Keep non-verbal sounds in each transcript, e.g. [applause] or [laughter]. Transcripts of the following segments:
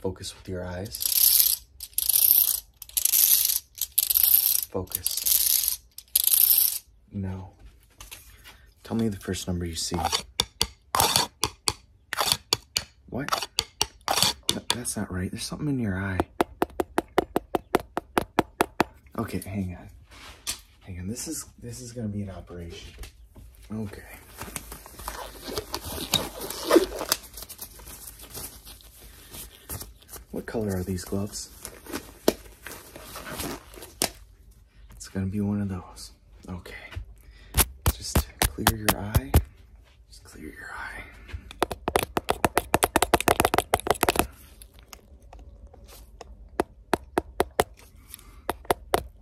Focus with your eyes. Focus. No. Tell me the first number you see. What? that's not right. There's something in your eye. Okay, hang on. Hang on. This is this is gonna be an operation. Okay. What color are these gloves? It's gonna be one of those. Okay. Just clear your eye. Just clear your eye.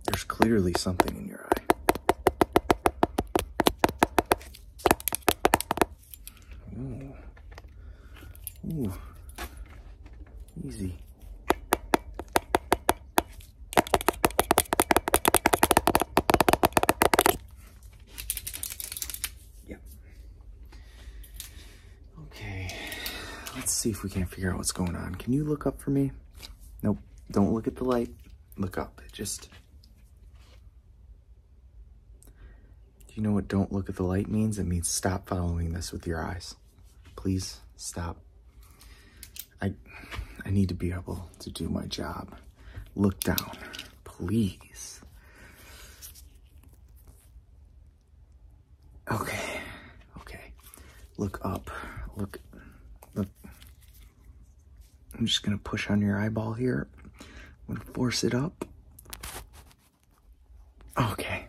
There's clearly something in your eye. Ooh. Ooh. Easy. Yep. Okay. Let's see if we can't figure out what's going on. Can you look up for me? Nope. Don't look at the light look up. just. You know what don't look at the light means? It means stop following this with your eyes. Please stop. I, I need to be able to do my job. Look down, please. Okay, okay. Look up, look, look. I'm just going to push on your eyeball here. I'm going to force it up. Okay.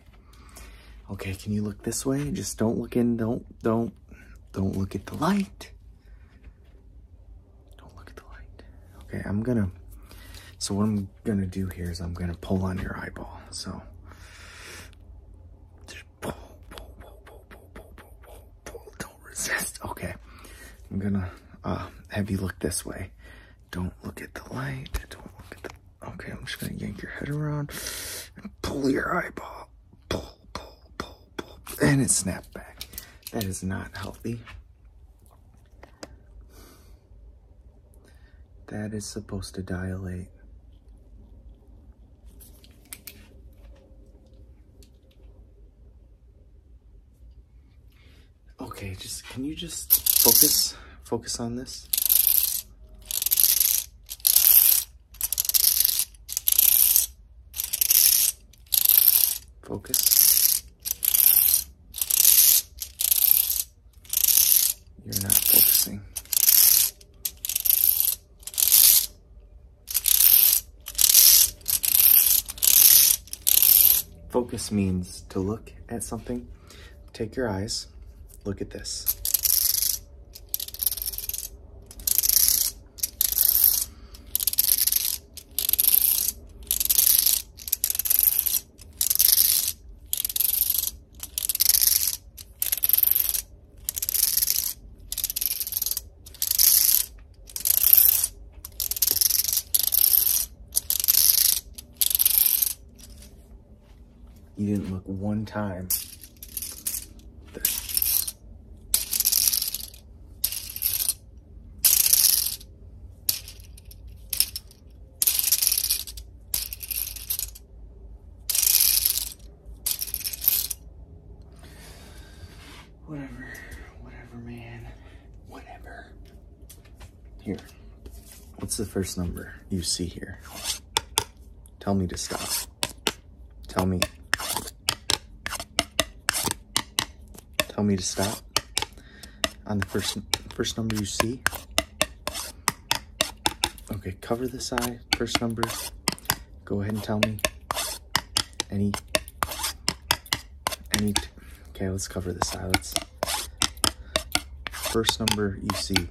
Okay, can you look this way? Just don't look in. Don't, don't, don't look at the light. Don't look at the light. Okay, I'm going to, so what I'm going to do here is I'm going to pull on your eyeball. So, don't resist. Okay. I'm gonna uh, have you look this way. Don't look at the light. Okay, I'm just gonna yank your head around and pull your eyeball. Pull, pull, pull, pull. And it snap back. That is not healthy. That is supposed to dilate. Okay, just can you just focus focus on this? Focus. You're not focusing. Focus means to look at something. Take your eyes, look at this. You didn't look one time. Whatever, whatever, man, whatever. Here, what's the first number you see here? Tell me to stop. Tell me. Tell me to stop on the first first number you see. Okay, cover this eye, first number. Go ahead and tell me. Any, any, okay, let's cover the eye. Let's, first number you see.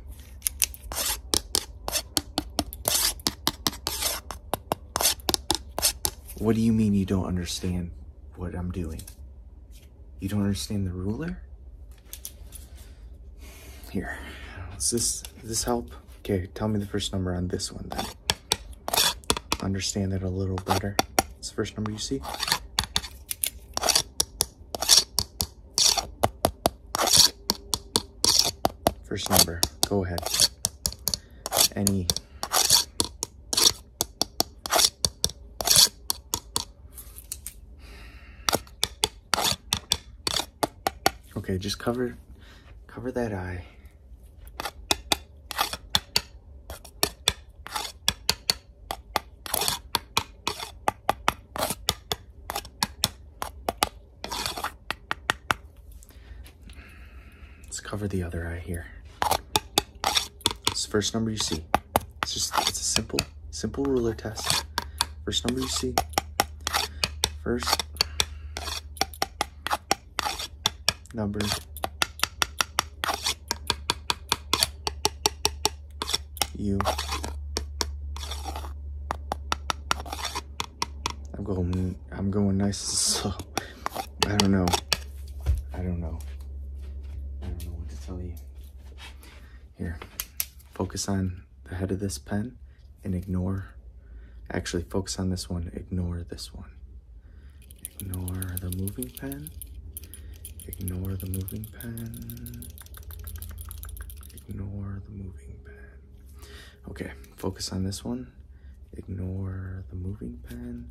What do you mean you don't understand what I'm doing? You don't understand the ruler? Here, does this, this help? Okay, tell me the first number on this one then. Understand it a little better. It's the first number you see. First number, go ahead. Any. Okay, just cover, cover that eye. Let's cover the other eye here. It's the first number you see. It's just, it's a simple Simple ruler test. First number you see. First number. You. I'm going I'm going nice and slow. I don't know. I don't know. I don't know what to tell you. Here. Focus on the head of this pen and ignore, actually focus on this one, ignore this one. Ignore the moving pen, ignore the moving pen, ignore the moving pen. Okay, focus on this one, ignore the moving pen,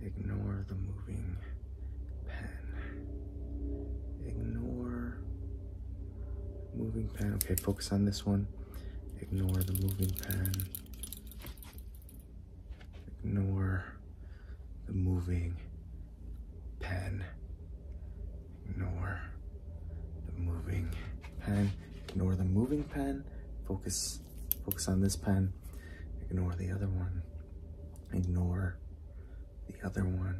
ignore the moving pen, ignore Moving pen. Okay, focus on this one. Ignore the moving pen. Ignore the moving pen. Ignore the moving pen. Ignore the moving pen. Focus focus on this pen. Ignore the other one. Ignore the other one.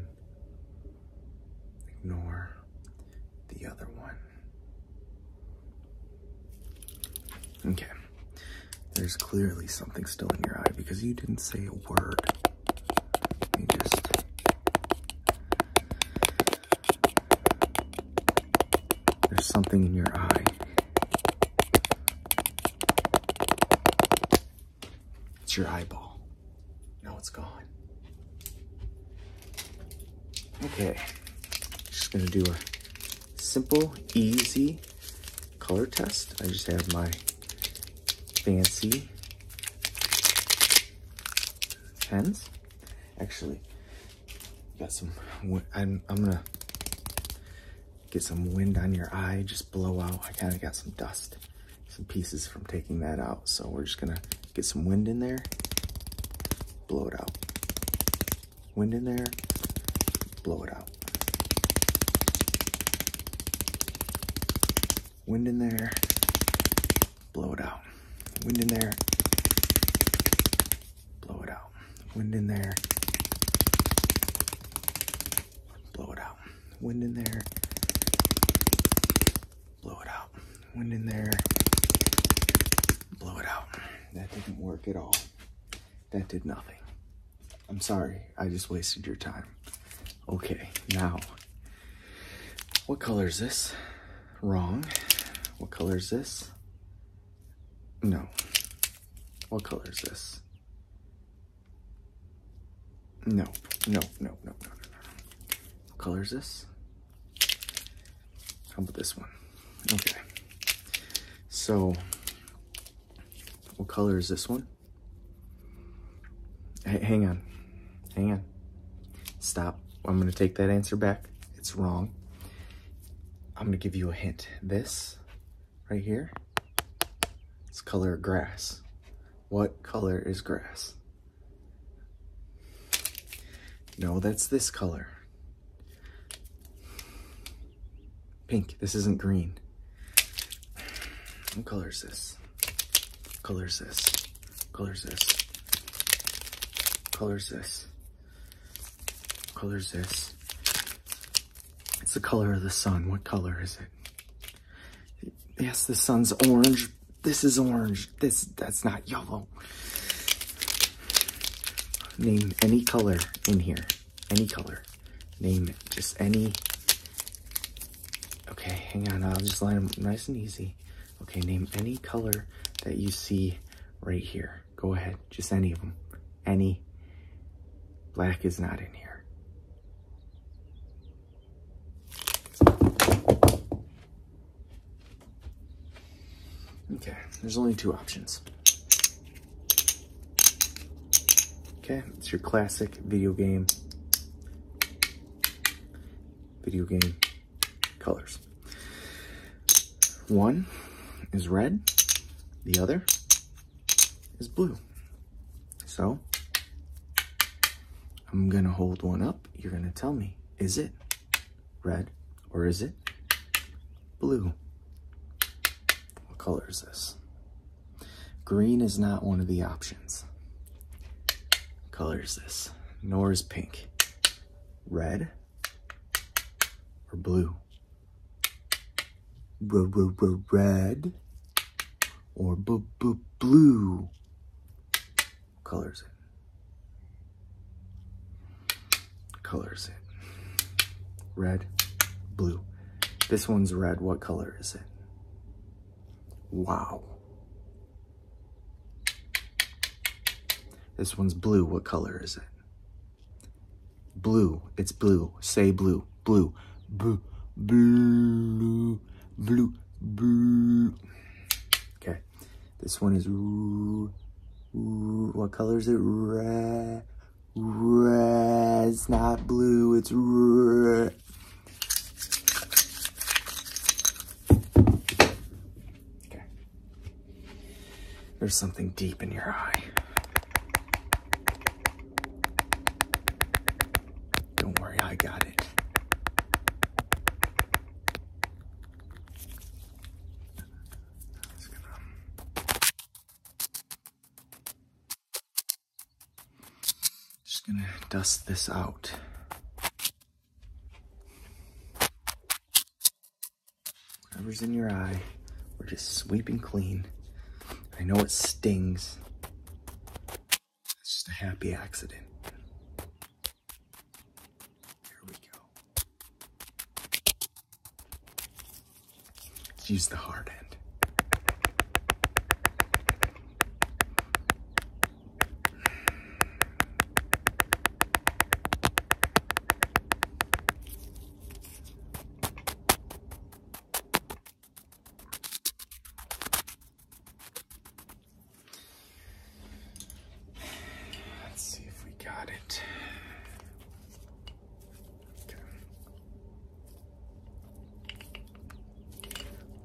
Ignore the other one. Okay. There's clearly something still in your eye because you didn't say a word. There's something in your eye. It's your eyeball. Now it's gone. Okay, just gonna do a simple, easy color test. I just have my fancy pens. Actually, got some, I'm, I'm gonna get some wind on your eye, just blow out. I kind of got some dust some pieces from taking that out. So we're just gonna get some wind in there, blow it out. Wind in there, blow it out. Wind in there, blow it out. Wind in there, blow it out. Wind in there, blow it out. Wind in there, blow it out. Wind in there, blow it out. That didn't work at all. That did nothing. I'm sorry, I just wasted your time. Okay, now, what color is this? Wrong. What color is this? No. What color is this? No, no, no, no, no, no, no. What color is this? How about this one? Okay. So, what color is this one? hang on. Hang on. Stop. I'm going to take that answer back. It's wrong. I'm going to give you a hint. This right here, it's color grass. What color is grass? No, that's this color. Pink, this isn't green. What color is this? color is this? color is this? color is this? color is this? It's the color of the sun. What color is it? Yes, the sun's orange. This is orange. This That's not yellow. Name any color in here. Any color. Name just any. Okay, hang on. I'll just line them nice and easy. Okay, name any color that you see right here. Go ahead. Just any of them. Any. Black is not in here. Okay, there's only two options. Okay, it's your classic video game, video game colors. One is red, the other is blue. So I'm gonna hold one up. You're gonna tell me, is it red or is it blue? What color is this? Green is not one of the options. color is this? Nor is pink. Red or blue? red or blue colors it. Colors it. Red, blue. This one's red. What color is it? Wow. This one's blue. What color is it? Blue. It's blue. Say blue. Blue. Blue. Blue. Blue. Blue. Okay. This one is... What color is it? Red. Red. not blue. It's red. Okay. There's something deep in your eye. Don't worry, I got it. Just gonna dust this out. Whatever's in your eye, we're just sweeping clean. I know it stings. It's just a happy accident. Here we go. use the hard end. Let's see if we got it.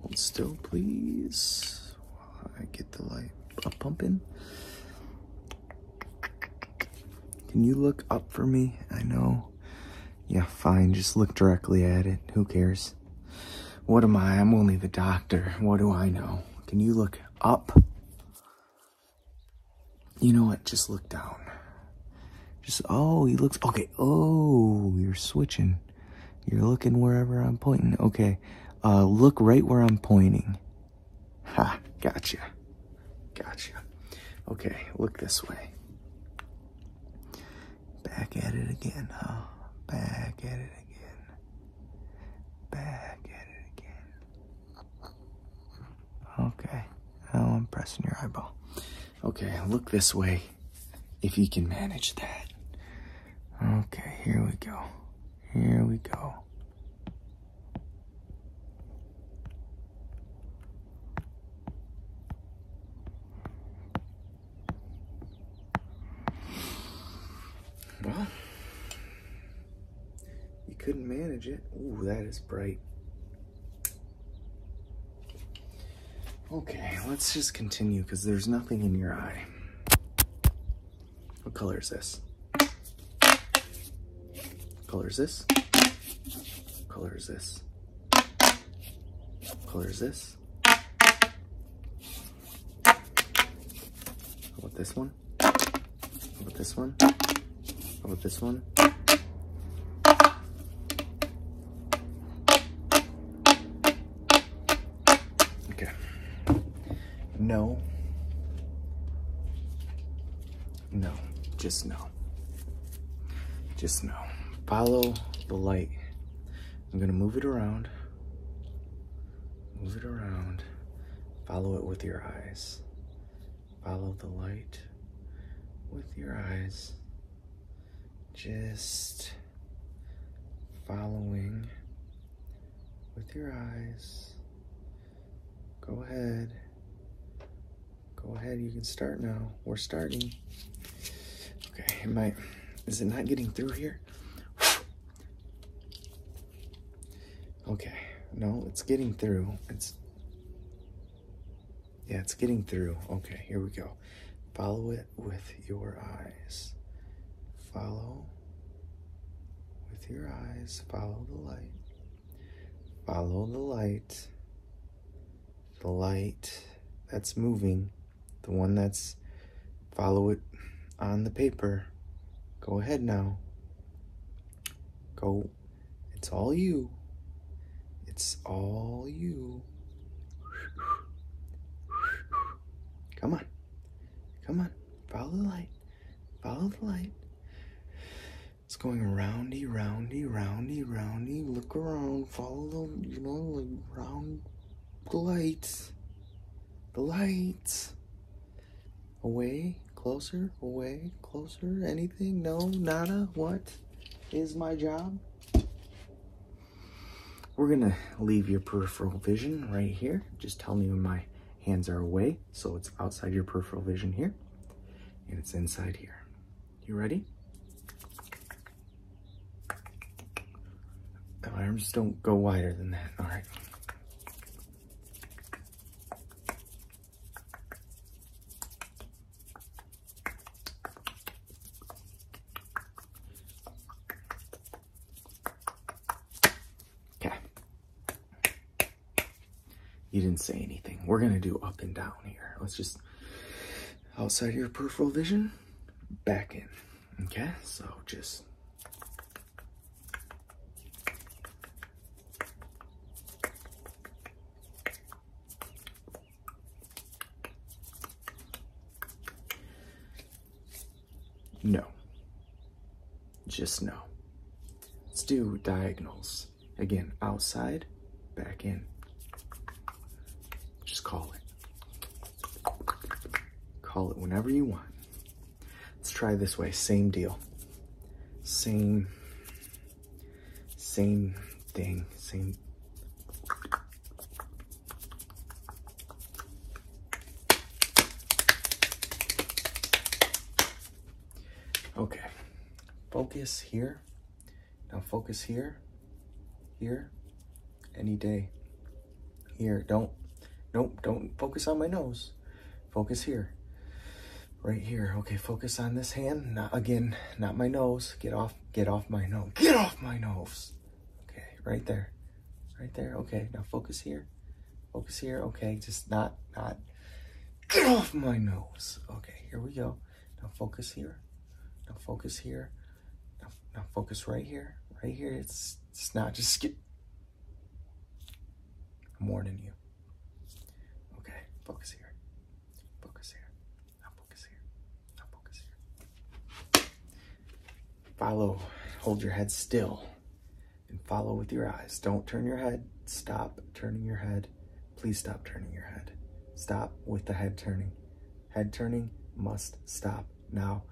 Hold still, please, while I get the light up pumping. Can you look up for me? I know. Yeah, fine. Just look directly at it. Who cares? What am I? I'm only the doctor. What do I know? Can you look up? You know what? Just look down. Just, oh, he looks, okay. Oh, you're switching. You're looking wherever I'm pointing. Okay. Uh, look right where I'm pointing. Ha, gotcha. Gotcha. Okay, look this way. Back at it again, huh? Back at it again. Back at it again. Okay, now I'm pressing your eyeball. Okay, look this way if you can manage that. Okay, here we go. Here we go. Well, you couldn't manage it. Ooh, that is bright. Okay, let's just continue because there's nothing in your eye. What color is this? Color is this. Color is this. Color is this. How about this one? How about this one? How about this one? Okay. No. No, just no. Just no. Follow the light. I'm gonna move it around. Move it around. Follow it with your eyes. Follow the light with your eyes. Just following with your eyes Go ahead. Go ahead. You can start now. We're starting. Okay. It might. is it not getting through here? okay. No, it's getting through. It's, yeah, it's getting through. Okay. Here we go. Follow it with your eyes. Follow with your eyes. Follow the light. Follow the light, the light that's moving, the one that's follow it on the paper. Go ahead now. Go. It's all you. It's all you. Come on. Come on. Follow the light. Follow the light. It's going roundy, roundy, roundy, roundy. Look around. Follow the, you know, the round the lights. The lights. Away, closer, away, closer. Anything? No, nada. What is my job? We're going to leave your peripheral vision right here. Just tell me when my hands are away. So it's outside your peripheral vision here and it's inside here. You ready? My arms don't go wider than that. All right. Okay. You didn't say anything. We're going to do up and down here. Let's just outside your peripheral vision, back in. Okay, so just No. Just no. Let's do diagonals. Again, outside, back in. Just call it. Call it whenever you want. Let's try this way, same deal. Same, same thing, same Okay, focus here. Now focus here, here, any day. Here, don't, nope, don't focus on my nose. Focus here, right here. Okay, focus on this hand. Not, again, not my nose. Get off, get off my nose. Get off my nose. Okay, right there, right there. Okay, now focus here. Focus here. Okay, just not, not. Get off my nose. Okay, here we go. Now focus here. Now focus here. Now, now focus right here. Right here. It's, it's not. Just [laughs] get. I'm warning you. Okay, focus here. Focus here. Now focus here. Now focus here. Follow. Hold your head still and follow with your eyes. Don't turn your head. Stop turning your head. Please stop turning your head. Stop with the head turning. Head turning must stop now.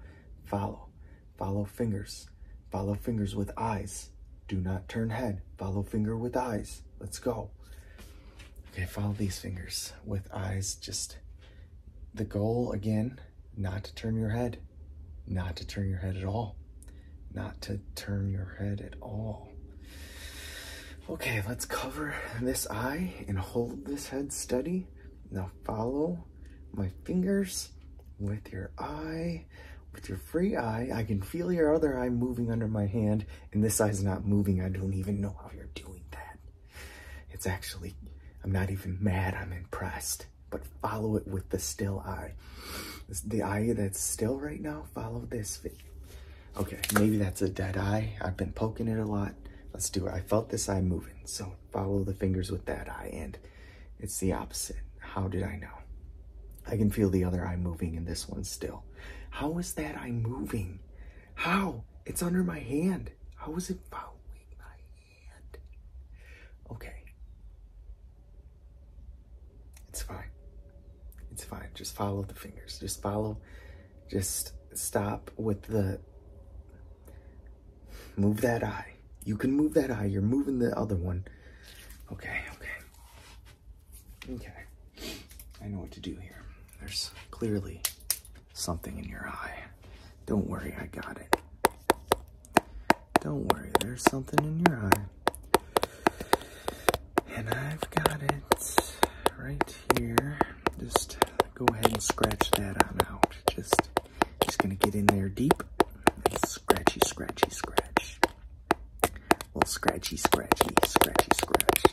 Follow. Follow fingers. Follow fingers with eyes. Do not turn head. Follow finger with eyes. Let's go. Okay, follow these fingers with eyes. Just the goal again not to turn your head, not to turn your head at all, not to turn your head at all. Okay, let's cover this eye and hold this head steady. Now follow my fingers with your eye, with your free eye. I can feel your other eye moving under my hand, and this eye's not moving. I don't even know how you're doing that. It's actually, I'm not even mad, I'm impressed but follow it with the still eye. The eye that's still right now, follow this. Okay, maybe that's a dead eye. I've been poking it a lot. Let's do it. I felt this eye moving, so follow the fingers with that eye, and it's the opposite. How did I know? I can feel the other eye moving and this one still. How is that eye moving? How? It's under my hand. How is it following Okay. It's fine. It's fine. Just follow the fingers. Just follow. Just stop with the. Move that eye. You can move that eye. You're moving the other one. Okay, okay. Okay. I know what to do here. There's clearly something in your eye. Don't worry, I got it. Don't worry, there's something in your eye. And I've got it right here. Just go ahead and scratch that on out. Just, just gonna get in there deep. Scratchy, scratchy, scratch. Well, scratchy, scratchy, scratchy, scratch.